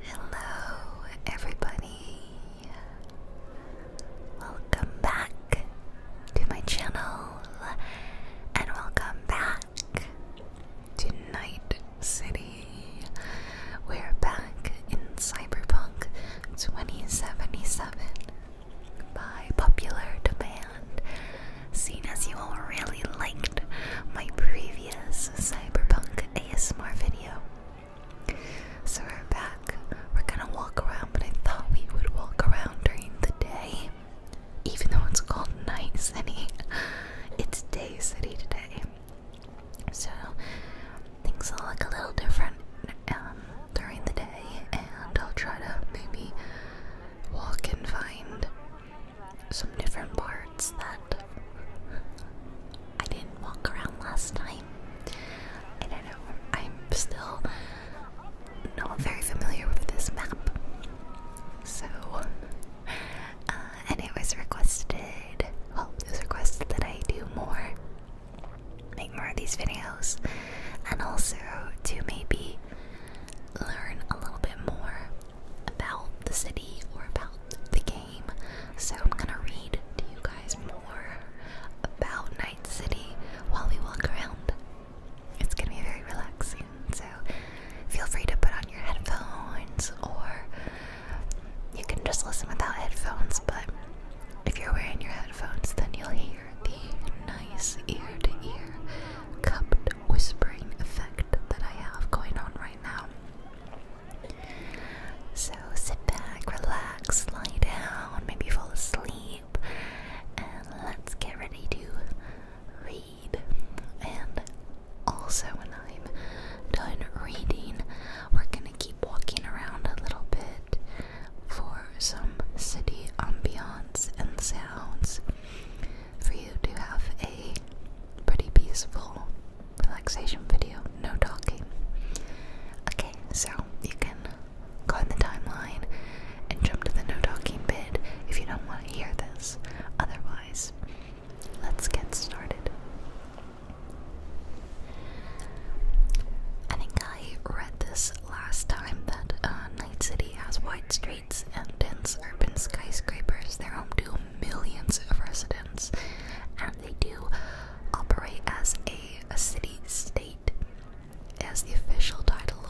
Hello, everybody. Welcome back to my channel and welcome back to Night City. We're back in Cyberpunk 2077 by popular demand, seeing as you all really like my previous cyberpunk ASMR video. So we're back. We're gonna walk around, but I thought we would walk around during the day. Even though it's called Night City, it's Day City today. So things look a little different um, during the day, and I'll try to maybe walk and find some different parts that I didn't walk around last time. I know. I'm still not very familiar with this map. So, uh, and it was requested, well, was requested that I do more, make more of these videos, and also to maybe learn a little bit more about the city or about the game. So I'm gonna read to you guys more about Night City while we walk around. It's gonna be very relaxing, so feel free to put on your headphones or you can just listen without headphones, but if you're wearing your headphones, then you'll hear the nice ear to ear cupped whispering effect that I have going on right now. So sit back, relax, lie down, maybe fall asleep, and let's get ready to read. And also, when I'm done reading, we're gonna keep walking around a little bit for some city ambiance and sounds for you to have a pretty peaceful relaxation video, no talking. Okay, so you can go in the timeline and jump to the no talking bit if you don't want to hear this. Otherwise, let's get started. I think I read this last time that uh, Night City has wide streets and dense urban skyscrapers, their home to millions of residents, and they do operate as a, city state, as the official title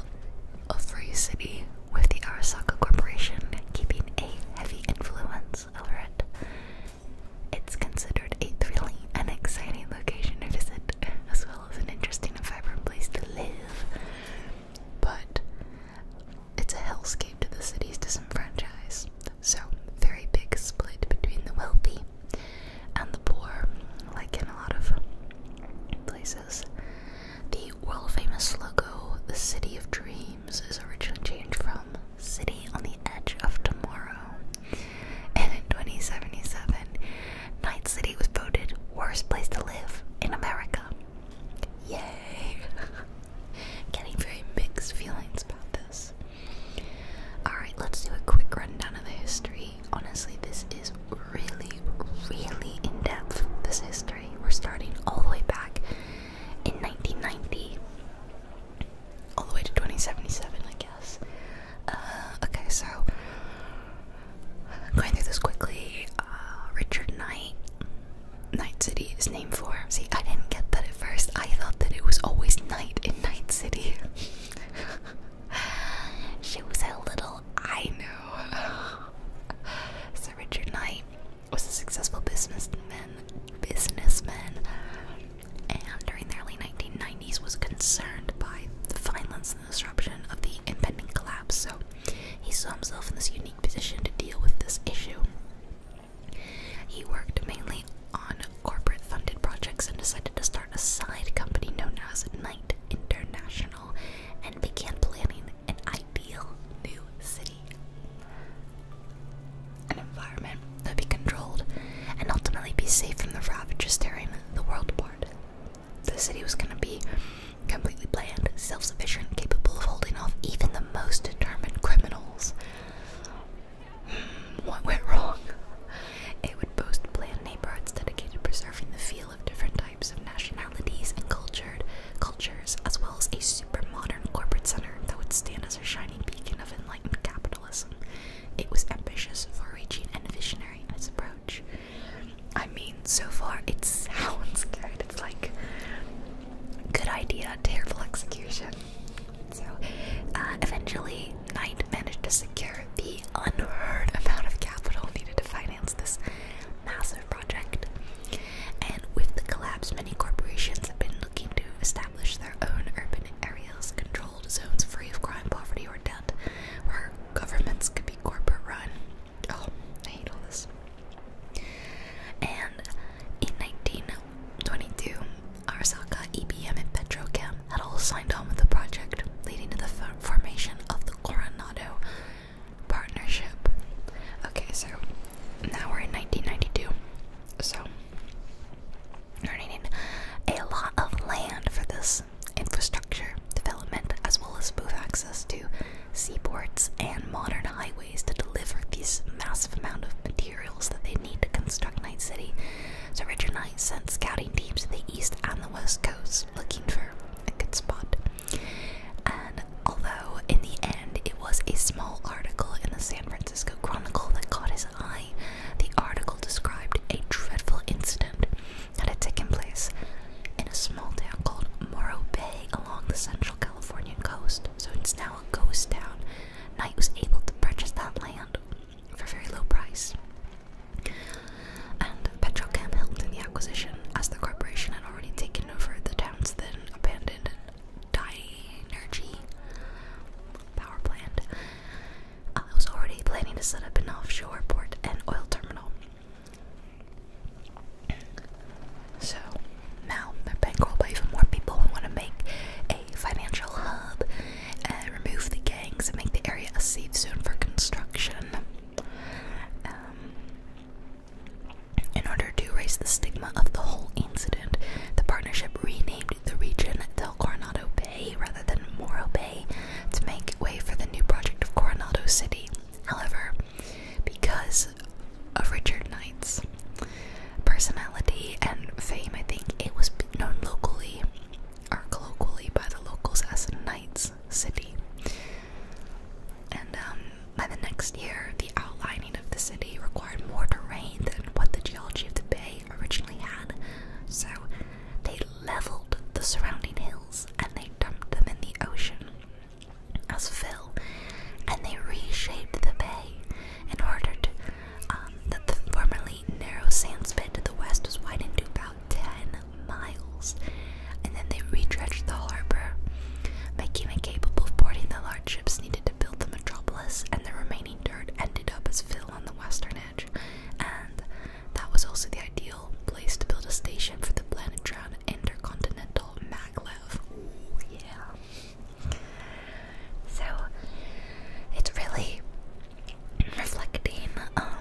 of Free City, with the Arasaka Corporation keeping a heavy influence over it. It's considered a thrilling and exciting location to visit, as well as an interesting and vibrant place to live. But it's a hellscaped to the city's disenfranchise, so very big split between the wealthy and the poor, like in a lot of places. The world famous logo, the City of Dreams, is originally changed from City on the Edge of Tomorrow. And in 2077, Night City was voted worst place to live in America. Yay! Getting very mixed feelings about this. Alright, let's do a quick rundown of the history. Honestly, this is really, really in depth. This history. We're starting all the way back in 1990, all the way to 2077, I guess. Uh, okay, so going through this quickly, uh, Richard Knight Night City is named for. See, I didn't get that at first. I thought that it was always night in Night City. she was a little. I know. Sir Richard Knight was a successful businessman. Businessman, and during the early 1990s, was concerned by the violence and disruption of the impending collapse. So he saw himself in this unique position to deal with this issue. He worked mainly on corporate funded projects and decided to start a side company known as Night International and began planning an ideal new city. An environment that would be controlled and ultimately be safe from the ravages tearing the world apart. The city was going to be completely planned, self sufficient, capable of holding off even the most determined criminal Hmm, what went wrong? It would boast planned neighborhoods dedicated to preserving the feel of different types of nationalities and cultured cultures, as well as a super modern corporate center that would stand as a shining beacon of enlightened capitalism. It was ambitious, far-reaching, and visionary in its approach. I mean, so far it sounds good. It's like Good idea, terrible execution. So, uh, eventually, Knight managed to secure the unheard amount of capital needed to finance this massive project. And with the collapse, many corporations have been looking to establish their own urban areas, controlled zones free of crime, poverty, or debt, where governments could be corporate run. Oh, I hate all this. And in 1922, Arasaka, EBM, and Petrochem had all signed on with the project, leading to the formation of the Coronado Partnership. Okay, so now we're in 1992. So, we're needing a lot of land for this infrastructure development as well as smooth access to seaports and modern highways to deliver these massive amount of materials that they need to construct Night City. So Richard Knight sent scouting teams to the east and the west coast looking for a good spot. And although in the end it was a small article in the San Francisco Chronicle that caught his eye, the article described a dreadful incident that had taken place in a small town called Morro Bay along the central Californian coast. So it's now now a ghost town, Knight was able to purchase that land for a very low price. And Petrochem helped in the acquisition, as the corporation had already taken over the town's then abandoned Dynergy power plant. Uh, I was already planning to set up an offshore port and oil terminal. So now they're being bankrolled by even more people and want to make a financial hub and remove the gangs and make the area a safe zone for construction. Um, in order to erase the stigma of the whole incident, the partnership renamed the region Del Coronado Bay rather than Morro Bay to make way for the new project of Coronado City. However, because of Richard Knight's personality and fame. I think it was known locally or colloquially by the locals as Knight's City. And um, by the next year, the outlining of the city required more terrain than what the geology of the bay originally had, so they leveled the surrounding hills and they dumped them in the ocean as fill, and they reshaped the bay and ordered um, that the formerly narrow sand spit to the west was widened to about 10 miles, and then they redredged the harbor, making it capable of boarding the large ships needed to build the metropolis, and the remaining dirt ended up as fill on the western edge, and that was also the ideal place to build a station for the planet-drowned intercontinental maglev. yeah. So it's really reflecting um,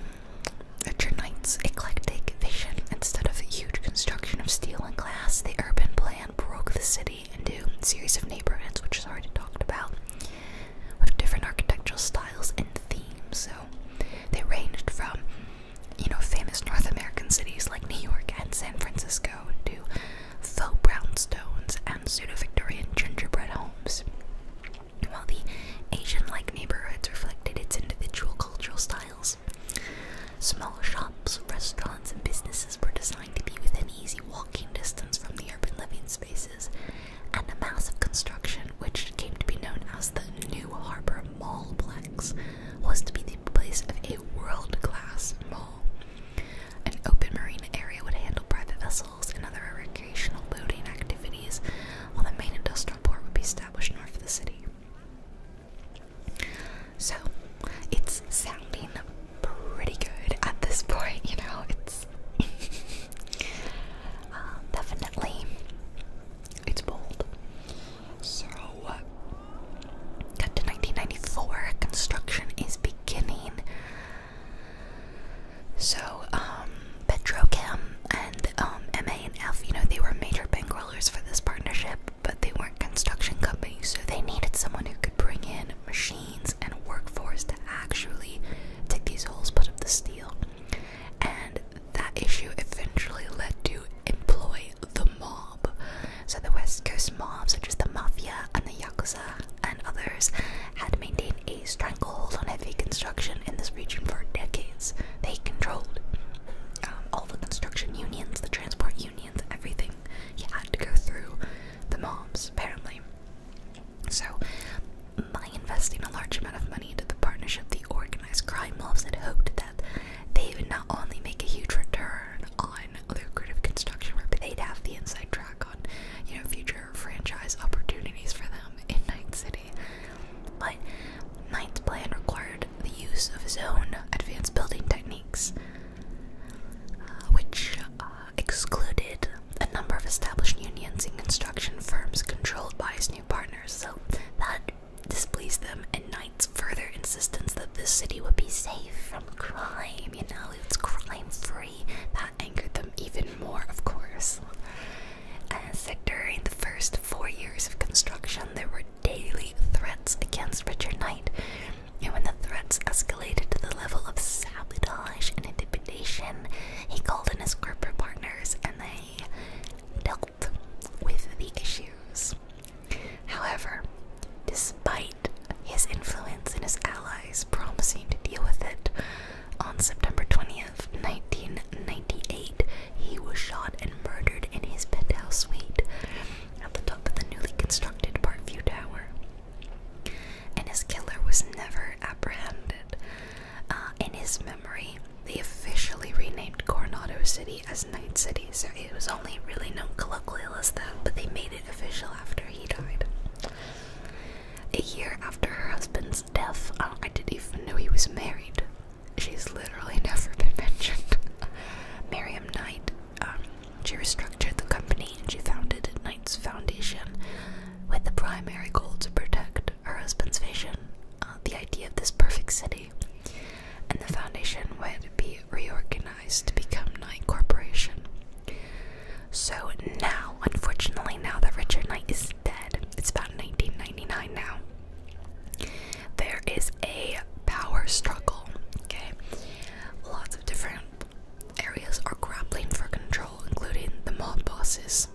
Richard Knight's eclectic vision. Instead of a huge construction of steel and glass, the urban plan broke the city into series of neighborhoods, which is already talked about, with different architectural styles and themes. So they ranged from, you know, famous North American cities like New York and San Francisco to faux brownstones, and pseudo-Victorian gingerbread homes. While the Asian-like neighborhoods reflected its individual cultural styles, small shops, restaurants, and businesses were designed to be within easy walking distance from the urban living spaces, and the massive construction, which came to be known as the New Harbor Mallplex, was to be the place of a world-class mall. An open marine area would handle private vessels and other recreational boating activities, while the main industrial port would be established north of the city. So, it's sounding pretty good at this point, you know, it's uh, definitely, it's bold. So, uh, Cut to 1994. Construction is beginning. So, um, Petrochem and MA um, and F, you know, they were major bankrollers for this partnership, but they weren't construction companies, so they needed someone who could bring in machines and workforce to actually dig these holes, put up the steel. And that issue eventually led to employ the mob. So the West Coast mobs, such as the Mafia and the Yakuza and others, had maintained a stranglehold on heavy construction in this region for decades. They controlled um, all the construction unions, the transport unions, everything. You had to go through the mobs, apparently. So, by investing a large amount of money into the partnership, the organized crime mobs had hoped that they would not only make a huge return on lucrative construction work, but they'd have the inside track on, you know, future franchise opportunities for them in Night City. But Knight's plan required the use of his own advanced building techniques, uh, which uh, excluded a number of established unions and construction firms controlled by his new partners. So that displeased them, and Knight's further insistence that this city would be safe from crime Damian crime free. That angered them even more, of course. And during the first four years of construction, there were daily threats against Richard Knight. And when the threats escalated to the level of sabotage and intimidation, he called in his corporate partners and they dealt with the issues. However, despite his influence and his allies promising to deal with it, on September 20th, 1998, he was shot and murdered in his penthouse suite at the top of the newly constructed Parkview Tower. And his killer was never apprehended. Uh, in his memory, they officially renamed Coronado City as Night City, so it was only really known colloquially as that, but they made it official after he died. A year after her husband's death, I didn't even know he was married. She's literally never been mentioned. Miriam Knight, um, she restructured the company and she founded Knight's Foundation with the primary goal to protect her husband's vision, uh, the idea of this perfect city. And the foundation would be reorganized to become Knight Corporation. So now, unfortunately, now that Richard Knight is dead, it's about 1999 now. There is a power struggle, okay? Lots of different areas are grappling for control, including the mob bosses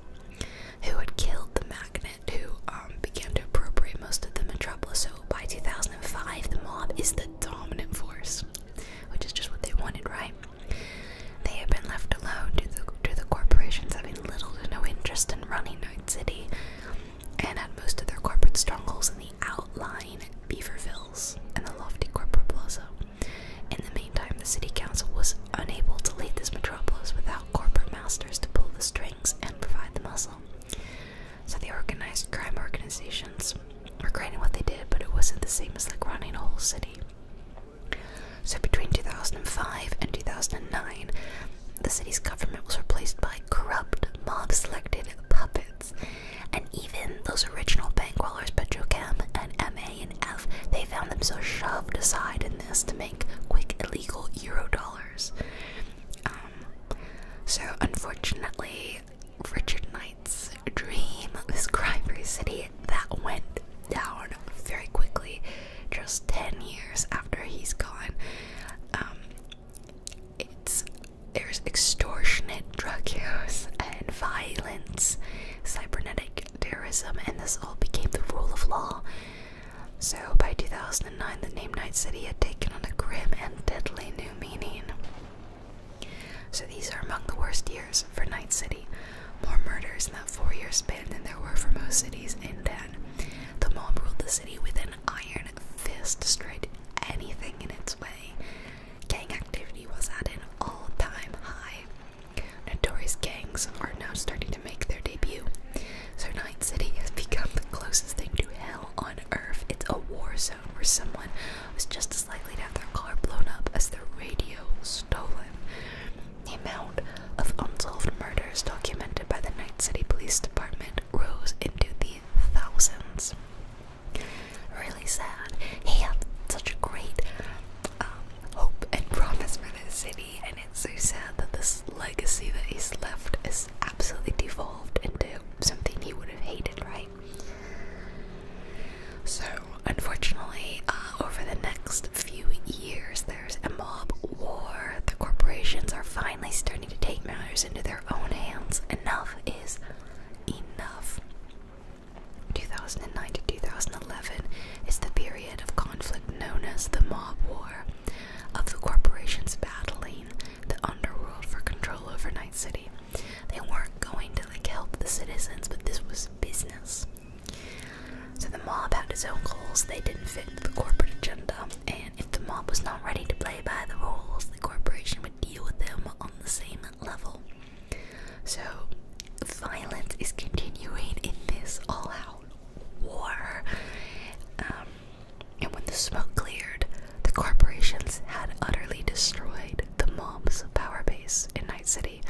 who had killed the Magnate, who um, began to appropriate most of the metropolis. So by 2005, the mob is the dominant force which is just what they wanted, right? They have been left alone to the, the corporations having little to no interest in running Night City and at most of their corporate strongholds in the outlying Beavervilles and the lofty corporate plaza. In the meantime, the city council was unable to lead this metropolis without corporate masters to pull the strings and provide the muscle. So the organized crime organizations were great in what they did, but it wasn't the same as like running a whole city. So between 2005 and 2009, the city's government was replaced by corrupt, mob-selected puppets. And even those original bankrollers, bankwallers, Petrochem and MA and F, they found themselves shoved aside in this to make quick illegal euro dollars. Um, so unfortunately, Richard Knight's dream, this crime free city that went down very quickly just 10 years after he's gone. Um, it's there's extortionate drug use and violence, cybernetic terrorism, and this all became the rule of law. So by 2009, the name Night City had taken on a grim and deadly new meaning. So these are among the worst years for Night City. More murders in that four year span than there were for most cities in Dan. The mob ruled the city with an iron fist, destroyed anything in its way. Gang activity was at an all time high. Notorious gangs are now starting to make their debut. So, Night City has become the closest thing to hell on earth. It's a war zone where someone was just as likely to have their car blown up as their radio stolen. The amount of unsolved murders documented by the Night City Police Department rose into the thousands. Really sad. He had such a great um, hope and promise for this city, and it's so sad that this legacy that he's left is absolutely devolved into something he would have hated, right? So, unfortunately, uh, over the next few years, there's a mob war. The corporations are finally starting to take matters into their own hands. Enough is enough. 2009 to 2011 is the period of conflict known as the mob war, of the corporations battling the underworld for control over Night City. They weren't going to like help the citizens, but this was business. So the mob had its own goals. They didn't fit the corporate agenda, and if the mob was not ready to play by the rules, the corporation would deal with them on the same level. So violence is continuing in this all-out war. Um, and when the smoke cleared, the corporations had utterly destroyed the mob's power base in Night City.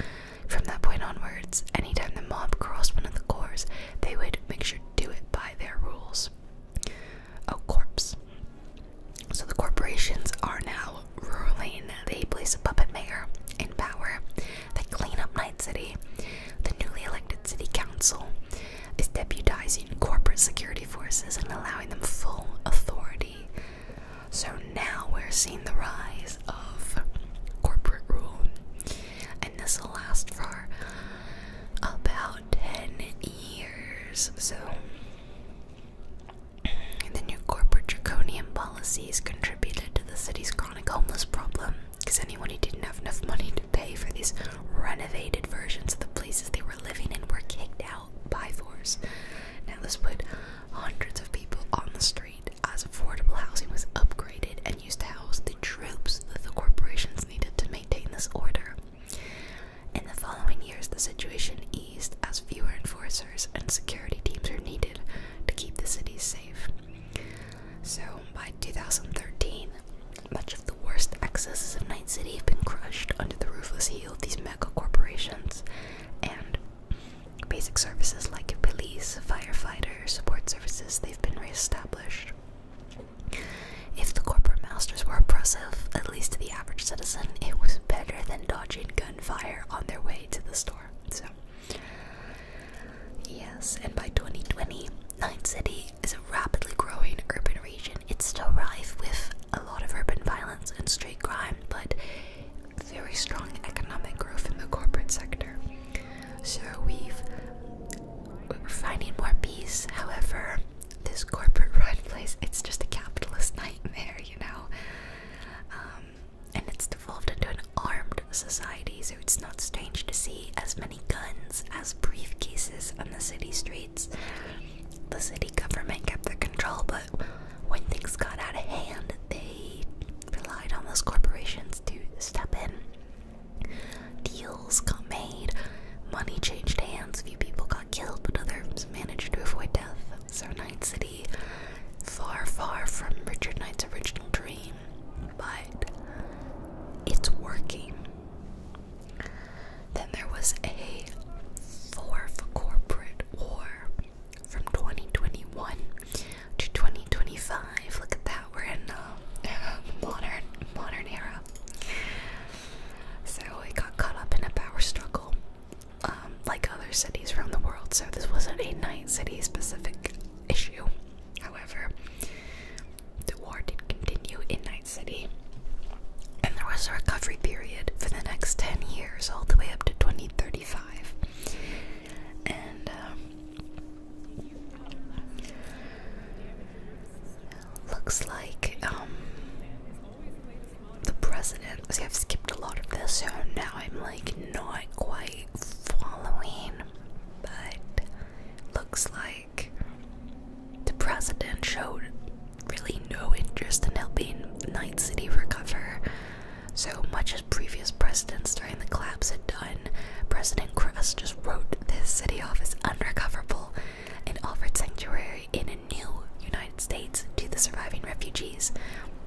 From that point onwards, anytime the mob crossed one of the cores, they would make sure to do it by their rules. Oh, corpse. So the corporations are now ruling. They place a puppet mayor in power. They clean up Night City. The newly elected city council is deputizing corporate security forces and allowing them full authority so now we're seeing the rise of corporate rule, and this will last for about 10 years. So the new corporate draconian policies contributed to the city's chronic homeless problem because anyone who didn't have enough money to pay for these renovated versions of the places they were living in were kicked out by force. Now, this put hundreds of people on the street as affordable housing was upgraded and used to house the troops that the corporations needed to maintain this order. In the following years, the situation eased as fewer enforcers and security teams are needed to keep the city safe. So, by 2013, much of the worst excesses of Night City have been crushed under the roofless heel of these men corporations and basic services like police, firefighter, support services, they've been reestablished. If the corporate masters were oppressive, at least to the average citizen, it was better than dodging gunfire on their way to the store. So, yes, and by 2020, Ninth City is a rapidly growing urban region. It's still rife with a lot of urban violence and street crime but very strong economic growth in the corporate sector. So we've we're finding more peace. However, this corporate-run place—it's just a capitalist nightmare, you know. Um, and it's devolved into an armed society, so it's not strange to see as many guns as briefcases on the city streets the city government kept their control, but when things got out of hand, they relied on those corporations to step in. Deals got made, money changed hands, a few people got killed, but others managed to avoid death. So, Knight's City, far, far from Richard Knight's original dream, but it's working. Then there was a fourth corporate war from 2021 to 2025. Look at that, we're in the um, modern modern era. So it got caught up in a power struggle, um, like other cities around the world. So this wasn't a night city specific issue. However, the war did continue in Night City and there was a recovery period for the next 10 years, all the way up to 2035. And um, looks like um, the president. See, I've skipped a lot of this, so now I'm like not quite following. But looks like the president showed really no interest in helping Night City recover. So much as previous presidents during the collapse had done, President Kress just wrote this city off as unrecoverable and offered sanctuary in a new United States to the surviving refugees.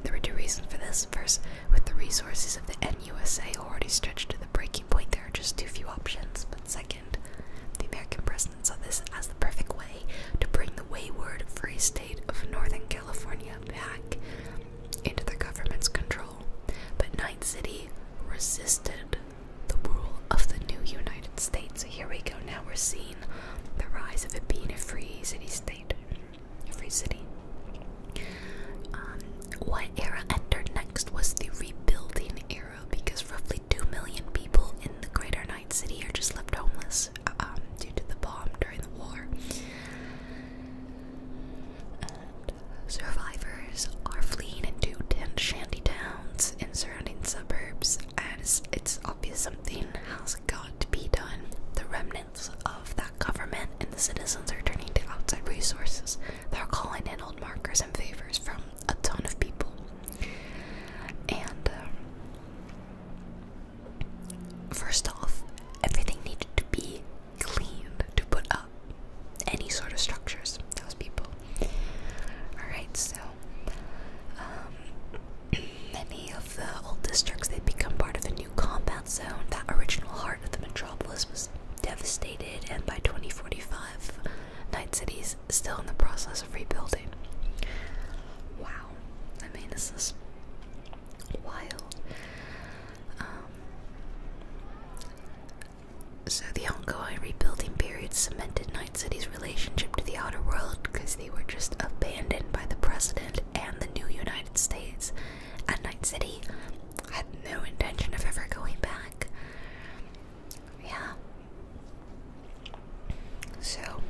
There were two reasons for this. First, with the resources of the NUSA already stretched to the breaking point, there are just too few options. But second, the American president saw this as the perfect to bring the wayward free state of Northern California back into the government's control. But Night City resisted the rule of the new United States. So here we go. Now we're seeing the rise of it being a free city state. free city. Um, what era entered next was the rebuilding era because roughly 2 million people in the greater Night City are just left homeless. Um, due to the bomb during the war. survivors are fleeing into tent shanty towns in surrounding suburbs, as it's obvious something has got to be done. The remnants of that government and the citizens are turning to outside resources. They're calling in old markers and favors from a ton of people. And um, First off, everything needed to be cleaned to put up any sort of structures, those people. Alright, so um, many of the old districts they become part of a new compound zone. That original heart of the metropolis was devastated, and by 2045, five, nine cities still in the process of rebuilding. Wow. I mean, this is wild. Um, so, the ongoing rebuilding period cemented Night City's relationship to the outer world because they were just abandoned by the president and the new United States, and Night City had no intention of ever going back. Yeah. So,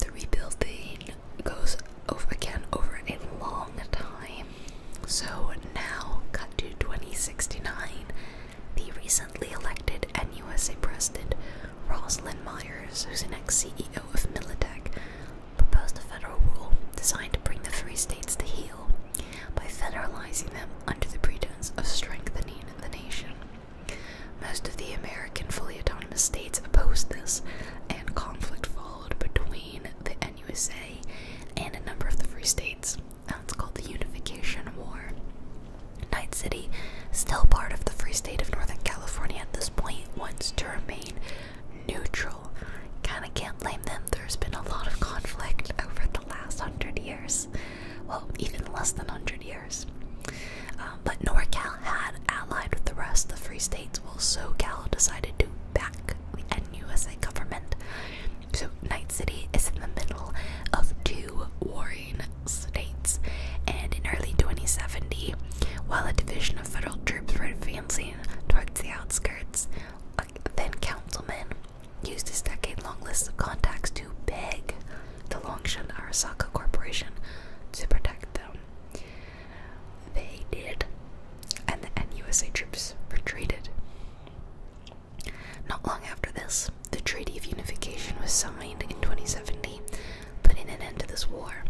the rebuilding goes over again over a long time. So now, cut to 2069, the recently elected NUSA President Roslyn Myers, who's the next CEO of Militech, proposed a federal rule designed to bring the three states to heel by federalizing them under the pretense of strengthening the nation. Most of the American fully autonomous states opposed this, and conflict followed between the NUSA and a number of the free states. Now it's called the Unification War. Night City, still part of the free state of Northern California at this point, wants to remain neutral. Kinda can't blame them, there's been a lot of conflict over the last hundred years. Well, even less than hundred years. Um, but NorCal had allied with the rest of the free states, while Cal decided to back the NUSA government. So Night City is in the middle of two warring states, and in early 2070, while a division of federal troops were advancing towards the outskirts, a then councilman used his decade-long list of contacts to beg the Longshun Arasaka Corporation to protect them. They did, and the NUSA troops retreated. Not long after this, the Treaty of Unification was signed in 2070, putting an end to this war.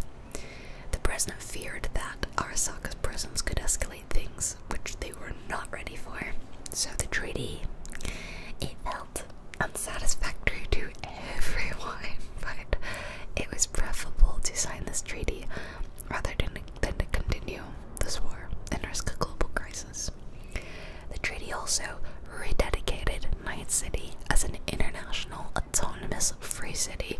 The president feared that Arasaka's presence could escalate things which they were not ready for. So the treaty unsatisfactory to everyone, but it was preferable to sign this treaty rather than, than to continue this war and risk a global crisis. The treaty also rededicated Night City as an international autonomous free city,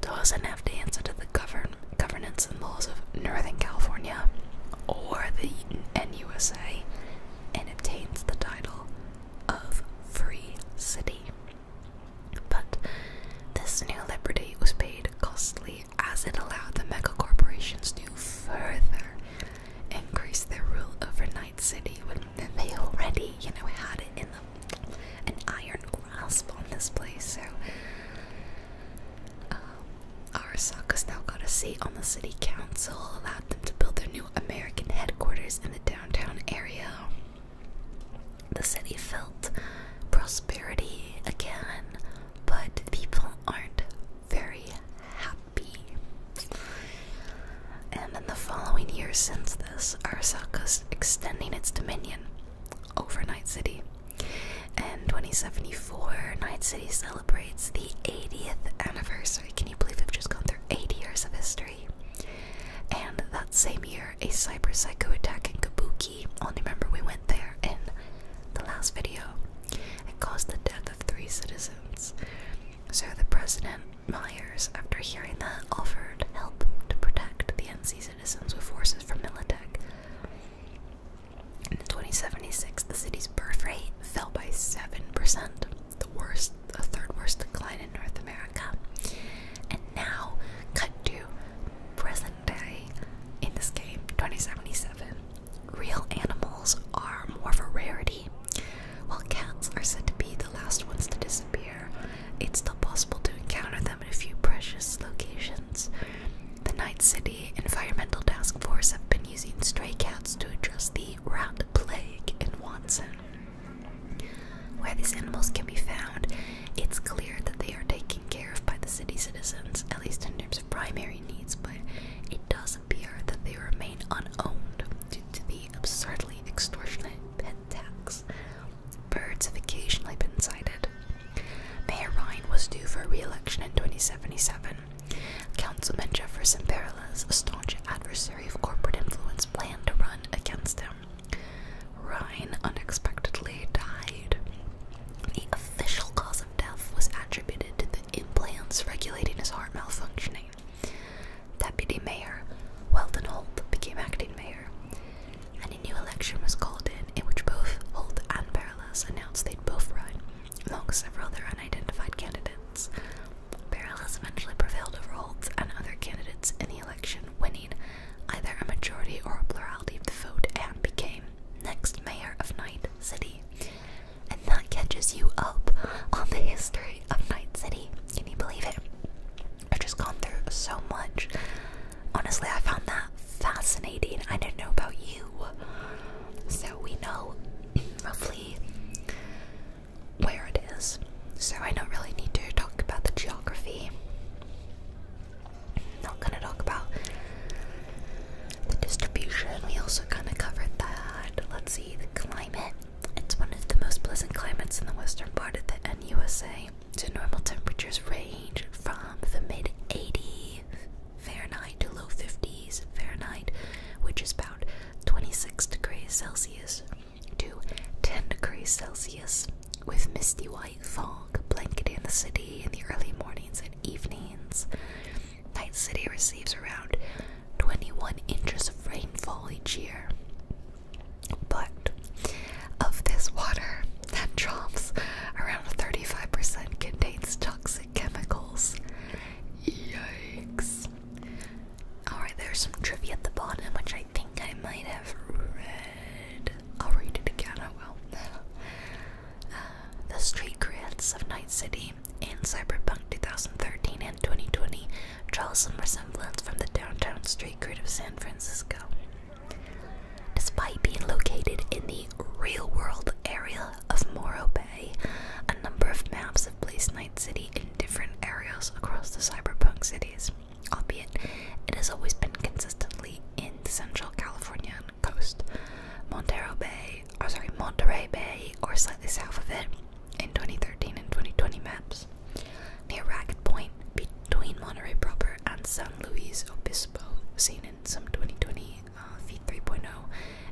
doesn't have to answer to the govern governance and laws of Northern California or the NUSA, and obtains the title of Free City. But this new liberty was paid costly as it allowed the corporations to further increase their rule over Night City when they already, you know, had it in them, an iron grasp on this place. So, um, uh, Arasaka's now got a seat on the city council, allowed them to build their new American headquarters in the downtown downtown area. The city felt prosperity again, but people aren't very happy. And in the following years since this, is extending its dominion over Night City. And 2074, Night City celebrates the 80th anniversary. Can you believe we've just gone through 80 years of history? And that same year, a cyber psycho attack in Kabuki, I'll remember we went there in the last video, it caused the death of three citizens. So the president, Myers, after hearing that, offered help to protect the NC citizens with forces from Militech. In 2076, the city's birth rate fell by 7% the worst, the third worst decline in North America. And now, cut to present day in this game, 2077. Real animals are more of a rarity. While cats are said to be the last ones to disappear, it's still possible to encounter them in a few precious locations. The Night City Environmental Task Force have been using stray cats to address the rat plague in Watson. Where these animals can be found, it's clear that they are taken care of by the city citizens, at least in terms of primary needs, but it does appear that they remain unowned due to the absurdly extortionate pet tax. Birds have occasionally been cited. Mayor Ryan was due for re election in 2077. Councilman Jefferson Perillas, a staunch adversary of corporate influence, planned to run against him. Ryan unexpectedly died. The official cause of death was attributed to the implants regulating his heart malfunctioning. Deputy Mayor Weldon Holt became acting mayor, and a new election was called in, in which both Holt and Paralas announced they'd both run, among several other unidentified candidates. Perales eventually prevailed over Holtz and other candidates in the election, winning either a majority or a plurality of the vote and became next mayor of Night City. And that catches you up on the history of Night City. Can you believe it? I've just gone through so much. Honestly, I found that fascinating. I didn't know about you. So we know, roughly where it is, so I don't really need to talk about the geography. Not gonna talk about the distribution. We also kind of covered that. Let's see the climate. It's one of the most pleasant climates in the western part of the NUSA. So normal temperatures range from the mid 80 Fahrenheit to low 50s Fahrenheit, which is about 26 degrees Celsius to 10 degrees Celsius, with misty white fog blanketing the city in the early mornings and evenings. Night City receives around 21 inches of rainfall each year. But of this water that drops, around 35% contains toxic chemicals. Yikes. Alright, there's some trivia at the bottom, which I think I might have read. I'll read it again, I will. Uh, the street grids of Night City and Cyberpunk 2013 and 2020 draw some resemblance from the downtown street grid of San Francisco. Despite being located in the real world area of Morrow Bay, a number of maps of Place Night City in different areas across the cyberpunk cities, albeit it has always been consistently in the central Californian coast, Montero Bay, or sorry, Monterey Bay, or slightly south of it, in 2013 and 2020 maps, near Ragged Point, between Monterey proper and San Luis Obispo, seen in some 2020 uh, 3.0,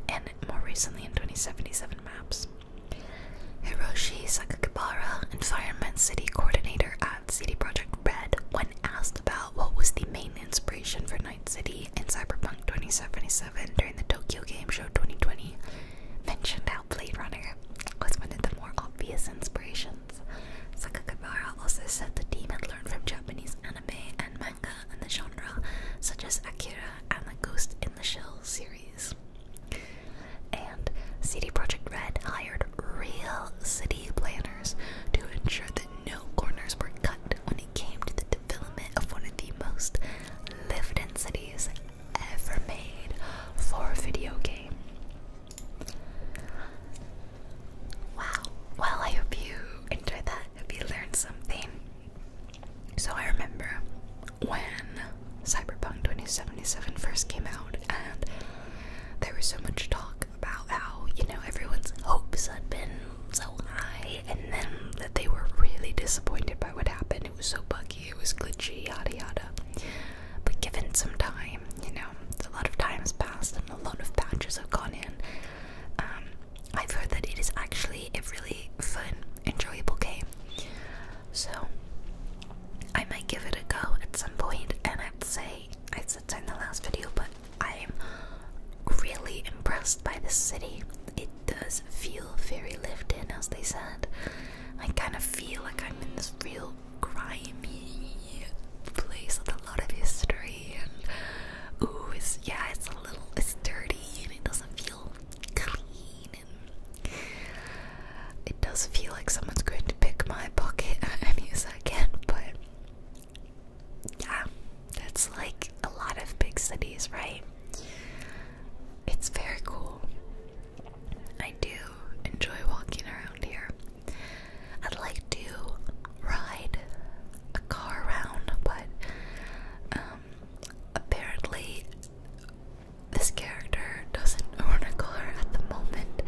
and more recently in 2077 maps. Hiroshi Sakakibara, Environment City Coordinator at City Project Red, when asked about what was the main inspiration for Night City in Cyberpunk 2077 during the Tokyo Game Show 2020, mentioned how Blade Runner was one of the more obvious inspirations. Sakakibara also said the team had learned from Japanese anime and manga and the genre, such as Akira and the Ghost in the Shell series and CD Projekt Red hired real city planners to ensure that no corners were cut when it came to the development of one of the most live densities ever made for a video game. Wow. Well, I hope you enjoyed that. Hope you learned something. So I remember when Cyberpunk 2077 first came out, and there was so much talk about how, you know, everyone's hopes had been so high, and then that they were really disappointed by what happened. It was so buggy, it was glitchy, yada yada. But given some time, you know, a lot of time has passed and a lot of patches have gone in. Um, I've heard that it is actually a really fun, enjoyable game. So I might give it a go at some point and I'd say I said that in the last video, but I'm really impressed by this city. It does feel very lived in as they said. I kind of feel like I'm in this real grimy place with a lot of history and ooh it's yeah it's a little it's dirty and it doesn't feel clean it does feel like someone's going to pick my pocket at any second, but yeah, that's like a lot of big cities, right? It's very cool. I do enjoy walking around here. I'd like to ride a car around, but um, apparently this character doesn't own a car at the moment,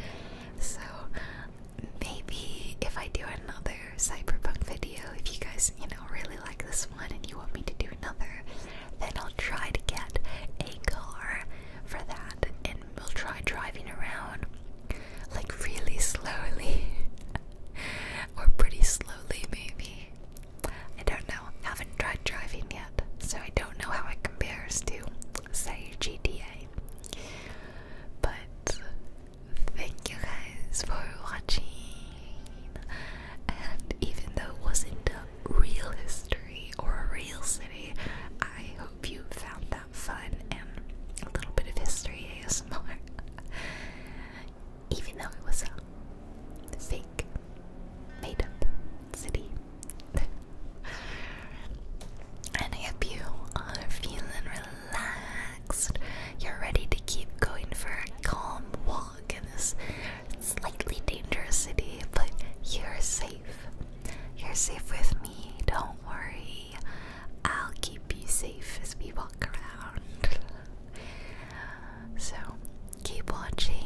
so maybe if I do another cyberpunk video, if you guys, you know, really like this one and you want me to do another, then I'll try to get a car for that and we'll try driving around like really slowly or pretty slowly maybe. I don't know. Haven't tried driving yet so I don't know how it compares to, say, GTA. But thank you guys for watching. And even though it wasn't a real history or a real city, I hope you found that fun and a little bit of history ASMR. Even though it was a fake made up city. and I hope you are feeling relaxed. You're ready to keep going for a calm walk in this slightly dangerous city, but you're safe. You're safe with me, don't worry. I'll keep you safe as we walk around. So, keep watching.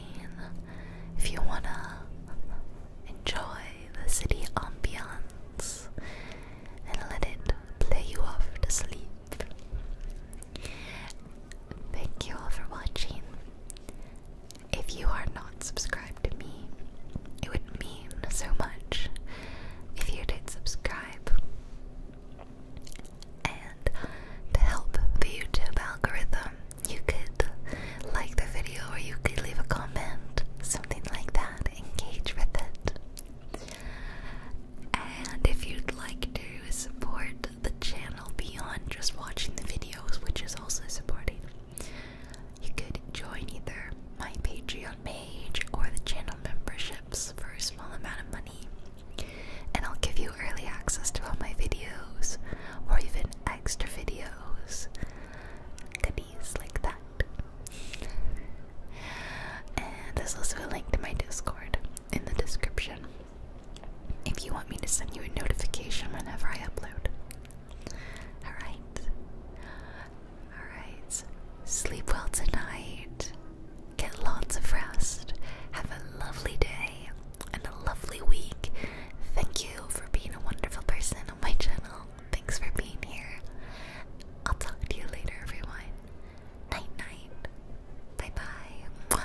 If you wanna Enjoy the city ambiance and let it play you off to sleep. Thank you all for watching. If you are not subscribed to me, it would mean so much if you did subscribe. And to help the YouTube algorithm, you could like the video or you could leave a comment, something like that. Engage with it. And if you'd like to support the channel beyond just watching the videos, which is also supporting, you could join either my Patreon page or the channel memberships for a small amount of money. And I'll give you early access to all my videos or even extra videos, goodies like that. And there's also a link to my Discord in the description if you want me to send you a notification whenever I upload. Alright. Alright. Sleep well tonight. Get lots of rest. Have a lovely day and a lovely week. Thank you for being a wonderful person on my channel. Thanks for being here. I'll talk to you later, everyone. Night, night. Bye bye.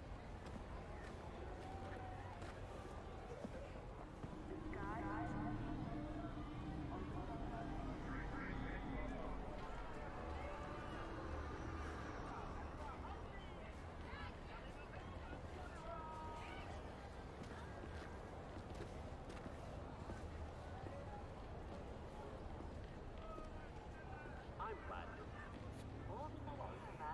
I'm glad to. Hold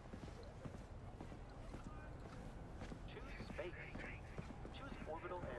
Choose space. Choose orbital area.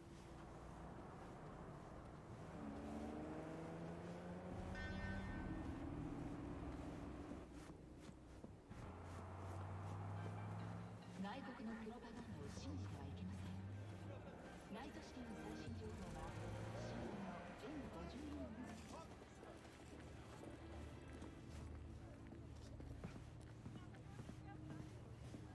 内国のプロパガンダを信じてはいけませんライトシティの最新情報は新聞の全5 4す。